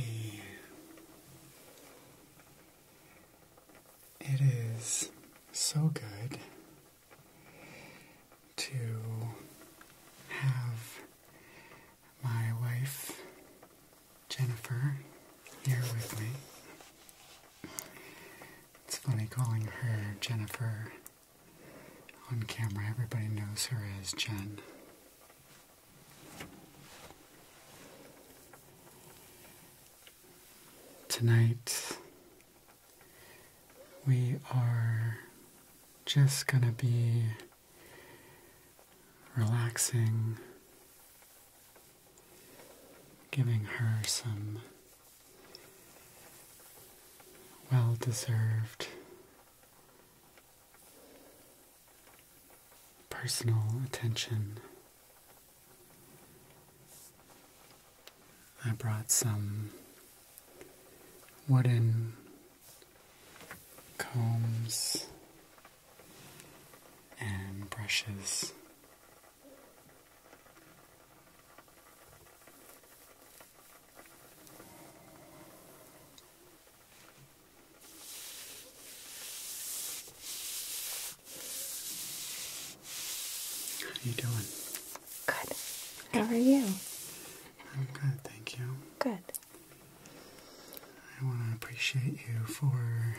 Hey, it is so good to have my wife Jennifer here with me. It's funny calling her Jennifer on camera, everybody knows her as Jen. Tonight, we are just going to be relaxing, giving her some well deserved personal attention. I brought some wooden combs and brushes. How are you doing? Good. How are you? I'm good, thank you. Good. I want to appreciate you for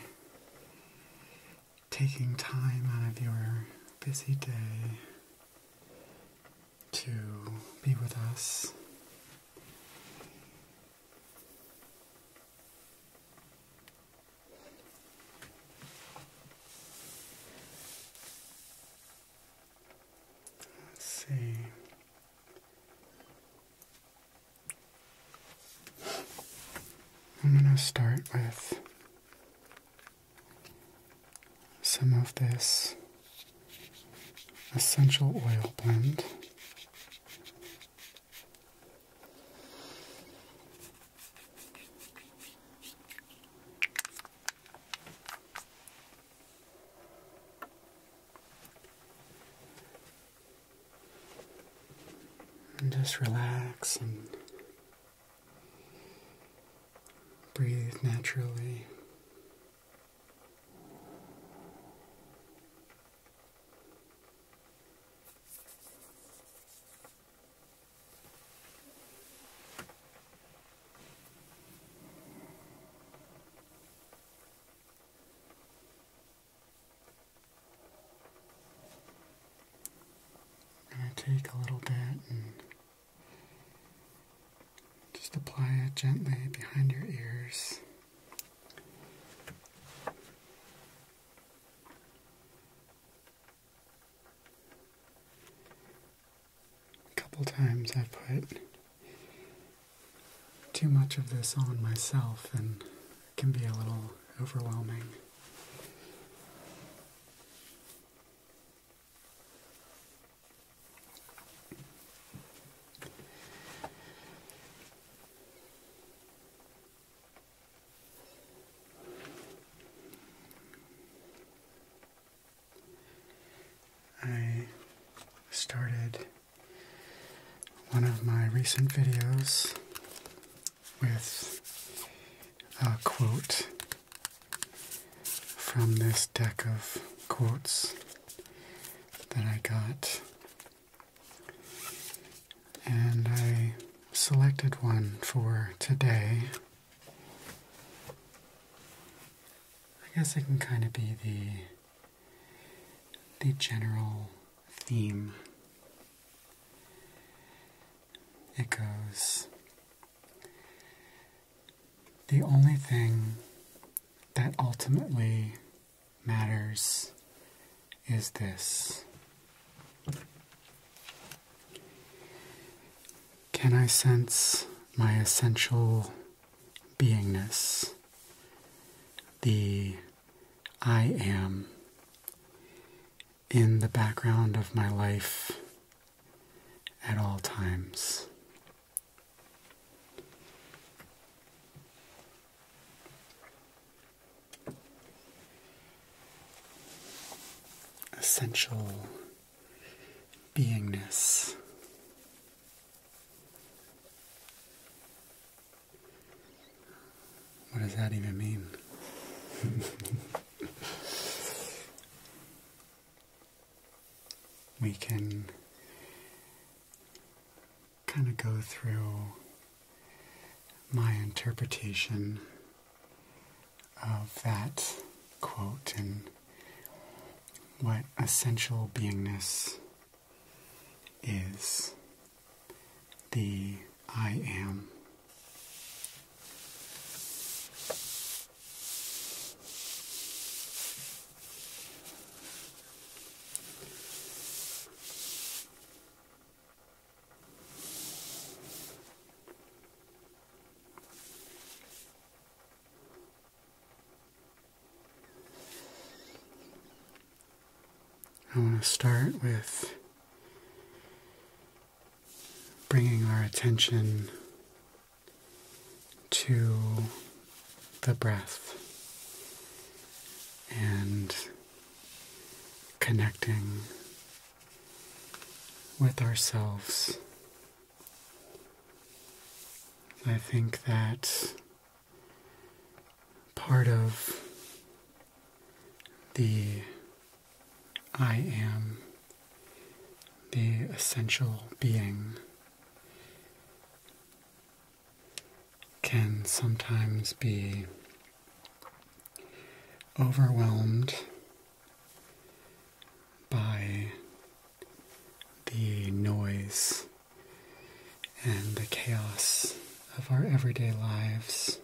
taking time out of your busy day to be with us. Let's see. I'm going to start with some of this essential oil blend just relax and breathe naturally. I'm going to take a little bit and just apply it gently behind your ears. A couple times I put too much of this on myself and it can be a little overwhelming. I started one of my recent videos with a quote from this deck of quotes that I got. And I selected one for today I guess it can kind of be the the general theme. It goes the only thing that ultimately matters is this can I sense my essential beingness? The I am in the background of my life at all times essential beingness. What does that even mean? we can kind of go through my interpretation of that quote and what essential beingness is the I am. I want to start with bringing our attention to the breath and connecting with ourselves. I think that part of the I am, the essential being, can sometimes be overwhelmed by the noise and the chaos of our everyday lives.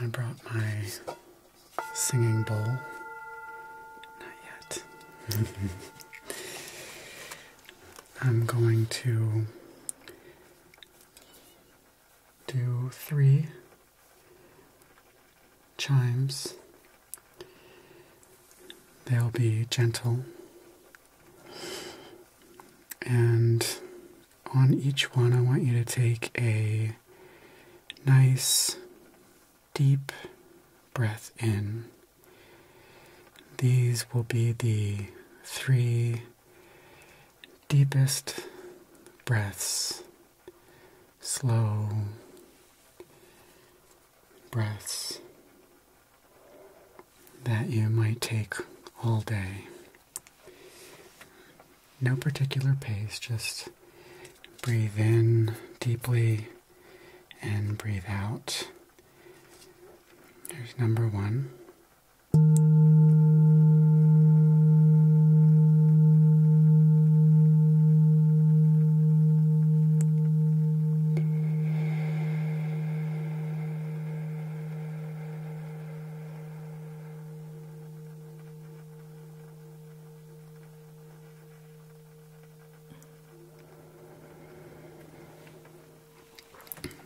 I brought my singing bowl. Not yet. I'm going to do three chimes. They'll be gentle. And on each one, I want you to take a nice, deep breath in. These will be the three deepest breaths, slow breaths that you might take all day. No particular pace, just breathe in deeply and breathe out. Here's number one.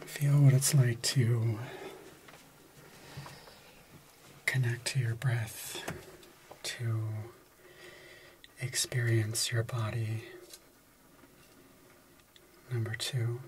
Feel what it's like to connect to your breath, to experience your body. Number two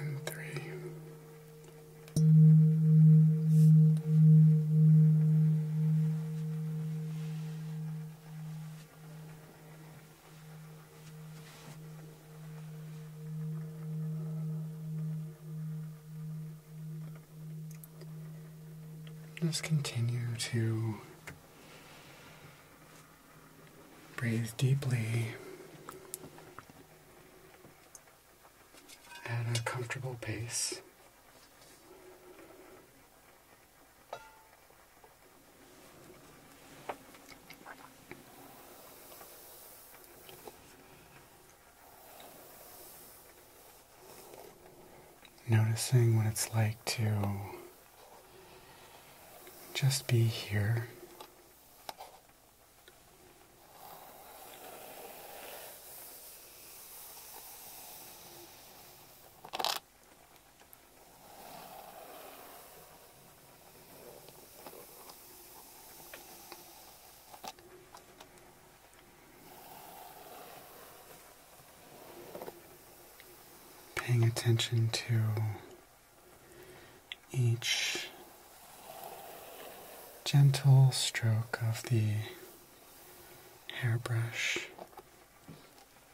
and three. Just continue to breathe deeply at a comfortable pace. Noticing what it's like to just be here. Paying attention to each gentle stroke of the hairbrush.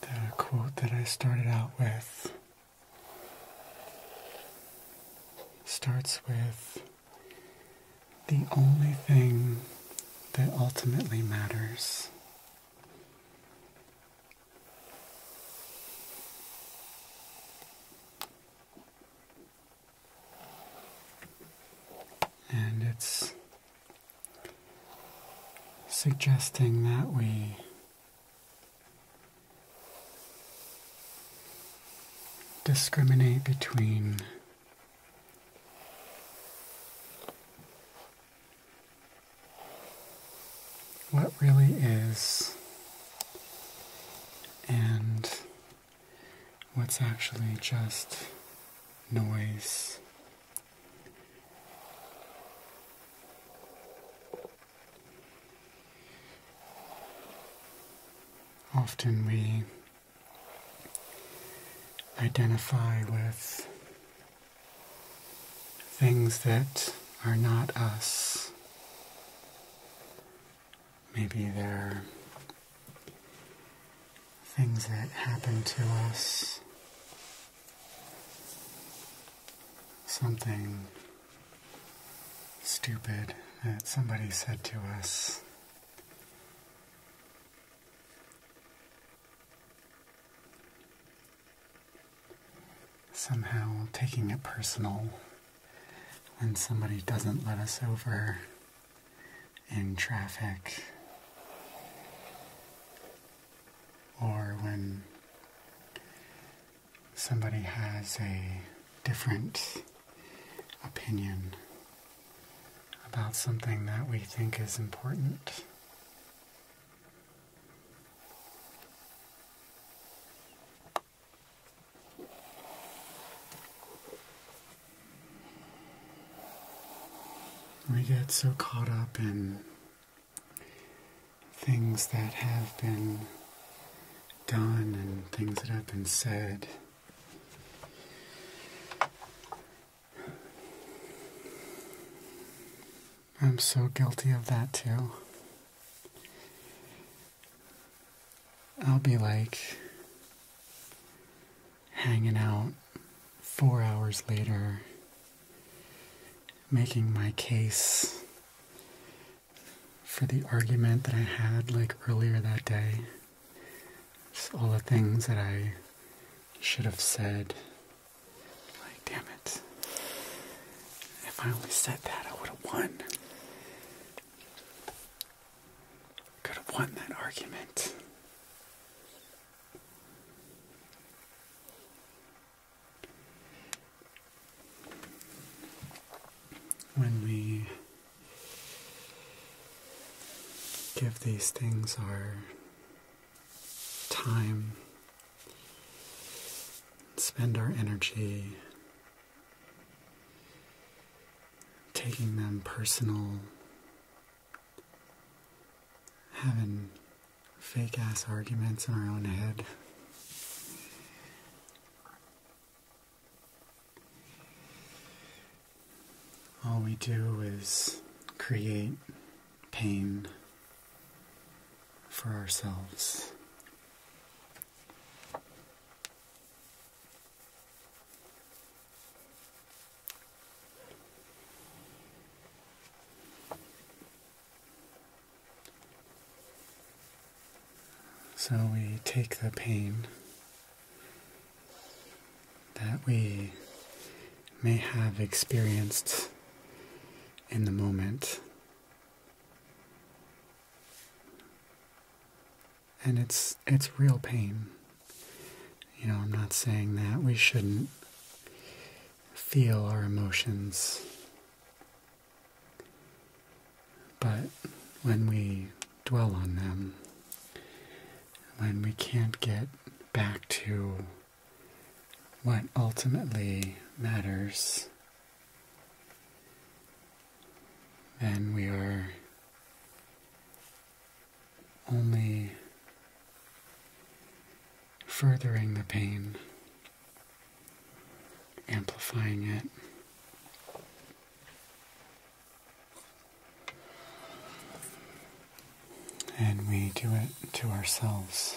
The quote that I started out with starts with the only thing that ultimately matters. And it's suggesting that we discriminate between what really is and what's actually just noise. Often we identify with things that are not us. Maybe they're things that happened to us, something stupid that somebody said to us somehow taking it personal when somebody doesn't let us over in traffic or when somebody has a different opinion about something that we think is important. We get so caught up in things that have been done and things that have been said I'm so guilty of that too. I'll be like hanging out four hours later, making my case for the argument that I had like earlier that day. all the things that I you should have said, like, damn it. If I only said that, I would have won. Could have won that argument. When we give these things our time, spend our energy taking them personal, having fake ass arguments in our own head all we do is create pain for ourselves. So we take the pain that we may have experienced in the moment. And it's it's real pain. You know, I'm not saying that we shouldn't feel our emotions. But when we dwell on them, when we can't get back to what ultimately matters, then we are only furthering the pain, amplifying it. And we do it to ourselves.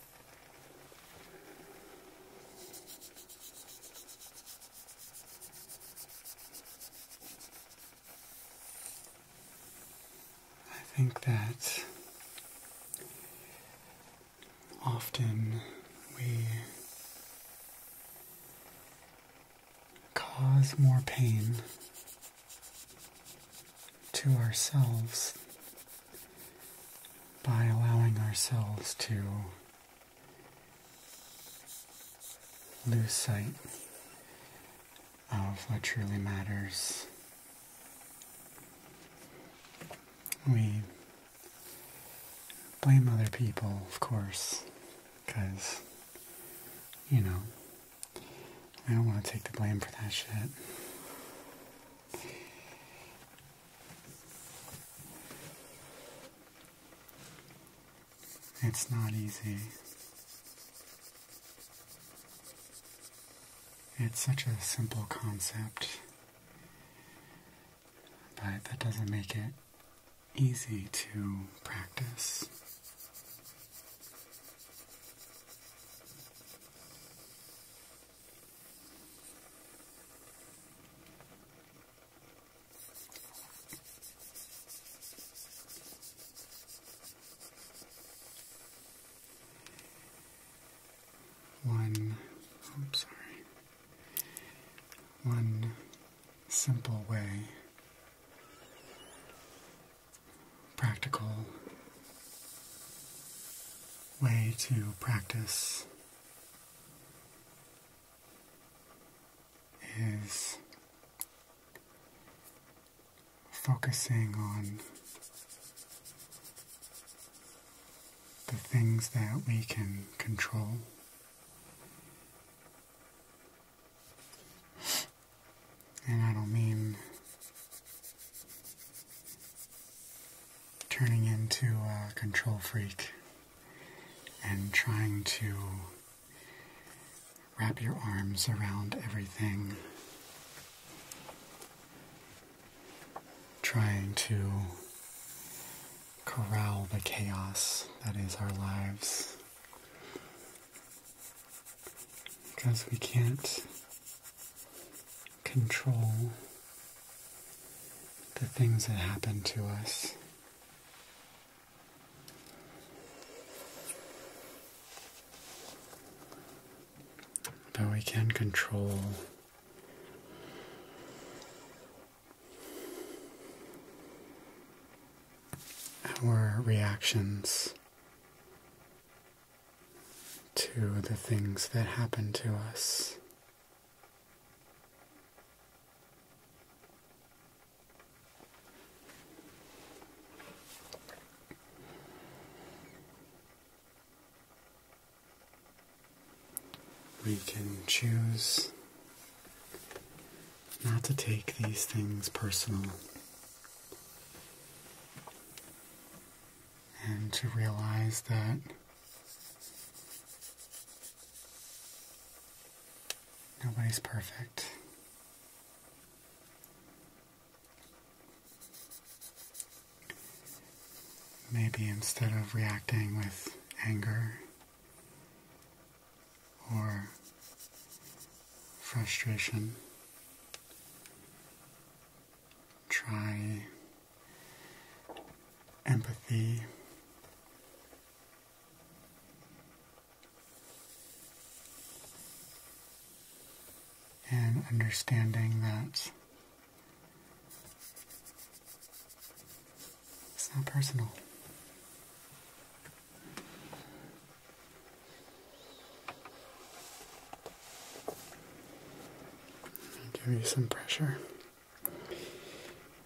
I think that often we cause more pain to ourselves by allowing ourselves to lose sight of what truly matters. We blame other people, of course, because, you know, I don't want to take the blame for that shit. It's not easy. It's such a simple concept, but that doesn't make it easy to practice. One, oh, I'm sorry, one simple way, practical way to practice is focusing on the things that we can control. And I don't mean turning into a control freak and trying to wrap your arms around everything, trying to corral the chaos that is our lives. Because we can't control the things that happen to us. But we can control our reactions to the things that happen to us. We can choose not to take these things personal and to realize that Nobody's perfect. Maybe instead of reacting with anger or frustration, try empathy. And understanding that it's not personal. give you some pressure.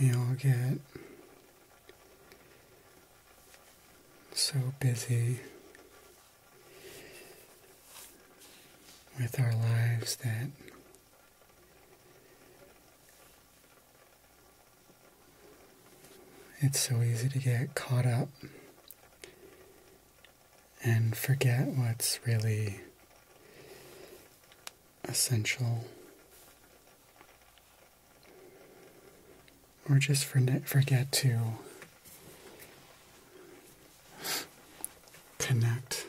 We all get so busy with our lives that it's so easy to get caught up and forget what's really essential. Or just forget to connect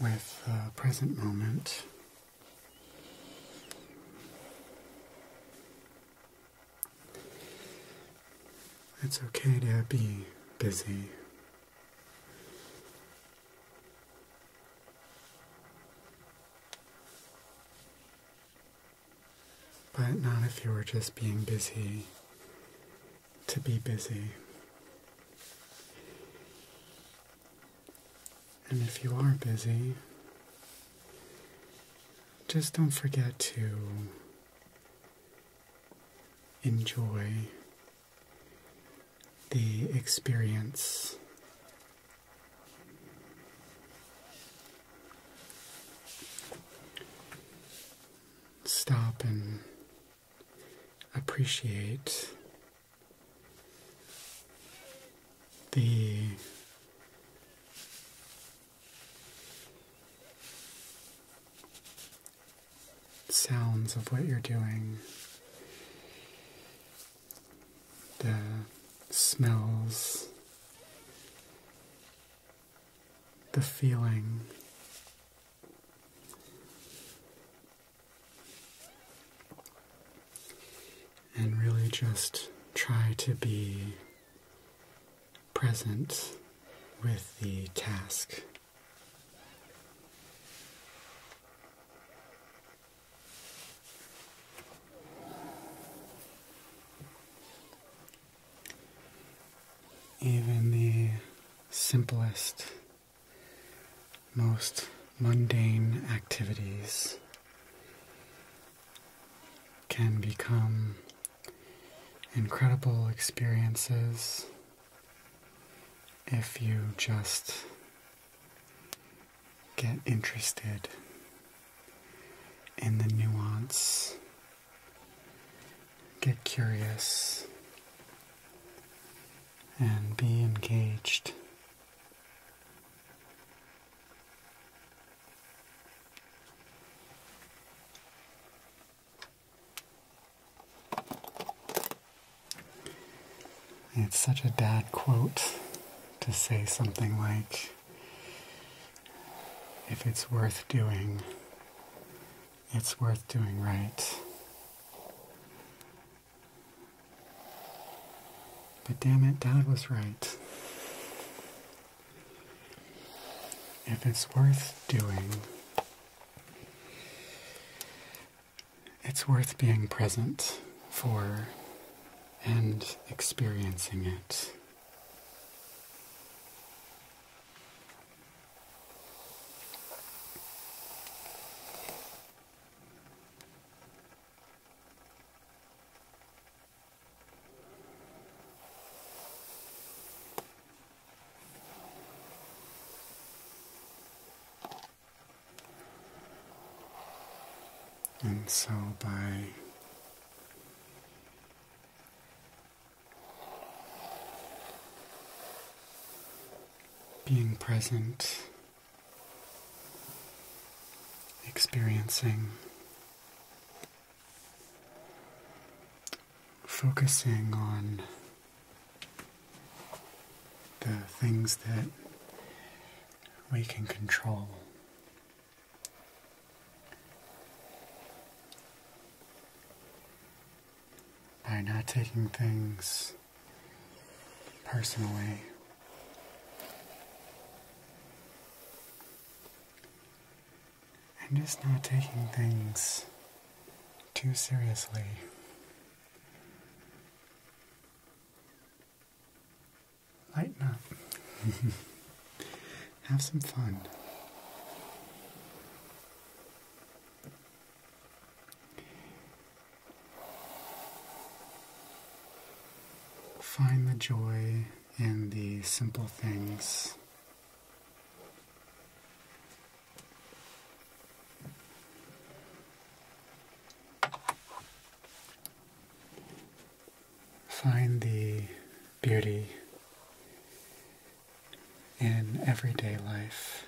with the present moment. It's okay to be busy. But not if you are just being busy to be busy. And if you are busy, just don't forget to enjoy the experience. Stop and appreciate the sounds of what you're doing, the smells, the feeling. And really just try to be present with the task. Even the simplest, most mundane activities can become incredible experiences if you just get interested in the nuance, get curious, and be engaged. It's such a dad quote to say something like, if it's worth doing, it's worth doing right. But damn it, Dad was right if it's worth doing, it's worth being present for and experiencing it. And so by being present, experiencing focusing on the things that we can control. By not taking things personally. I'm just not taking things too seriously. Lighten up. Have some fun. Find the joy in the simple things Find the beauty in everyday life.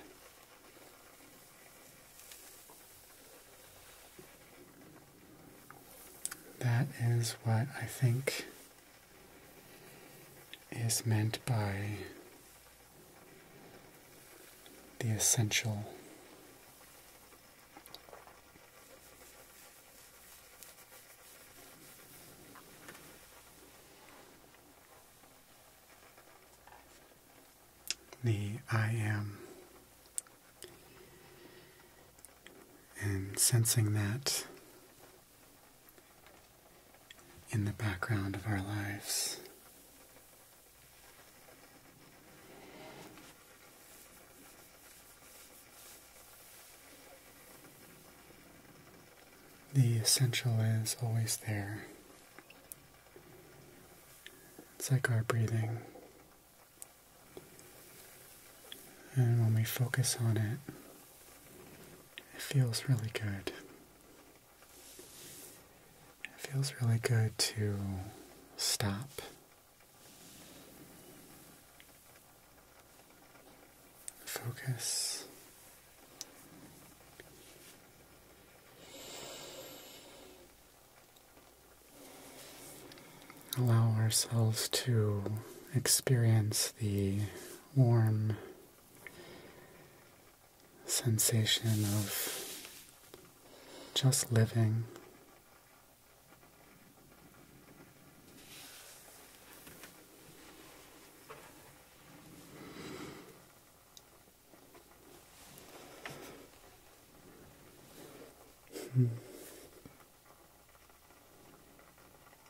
That is what I think is meant by the essential. The I am, and sensing that in the background of our lives. The essential is always there. It's like our breathing. And when we focus on it, it feels really good. It feels really good to stop. Focus. Allow ourselves to experience the warm sensation of just living.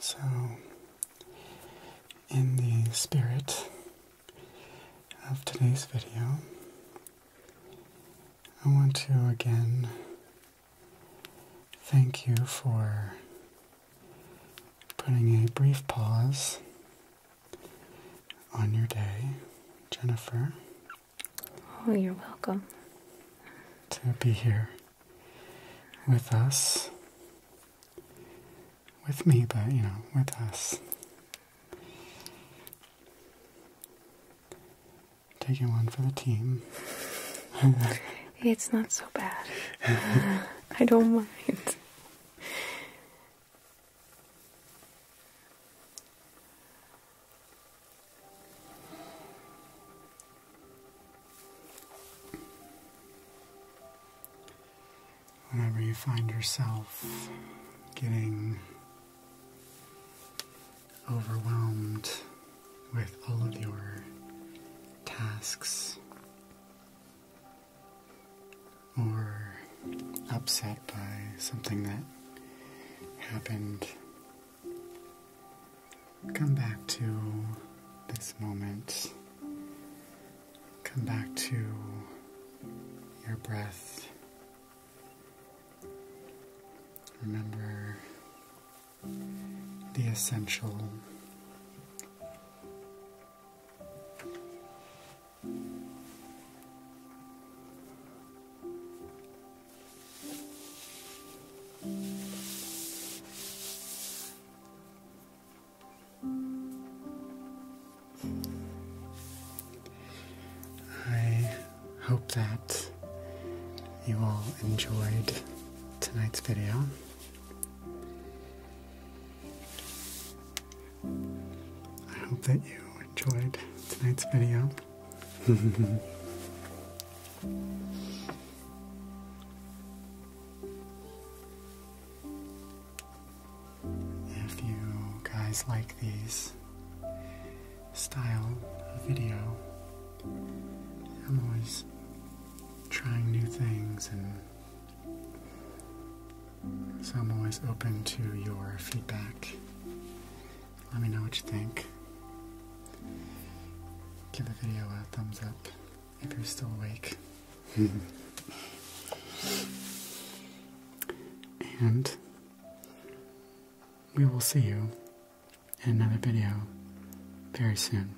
So, in the spirit of today's video, I want to again thank you for putting a brief pause on your day, Jennifer. Oh, you're welcome. To be here with us. With me, but you know, with us. Taking one for the team. it's not so bad. I don't mind. Whenever you find yourself getting overwhelmed with all of your tasks or upset by something that happened, come back to this moment. Come back to your breath Remember the essential. I hope that you all enjoyed tonight's video. I hope that you enjoyed tonight's video. if you guys like these, style of video. I'm always trying new things, and so I'm always open to your feedback. Let me know what you think. Give the video a thumbs up if you're still awake. and we will see you in another video very soon.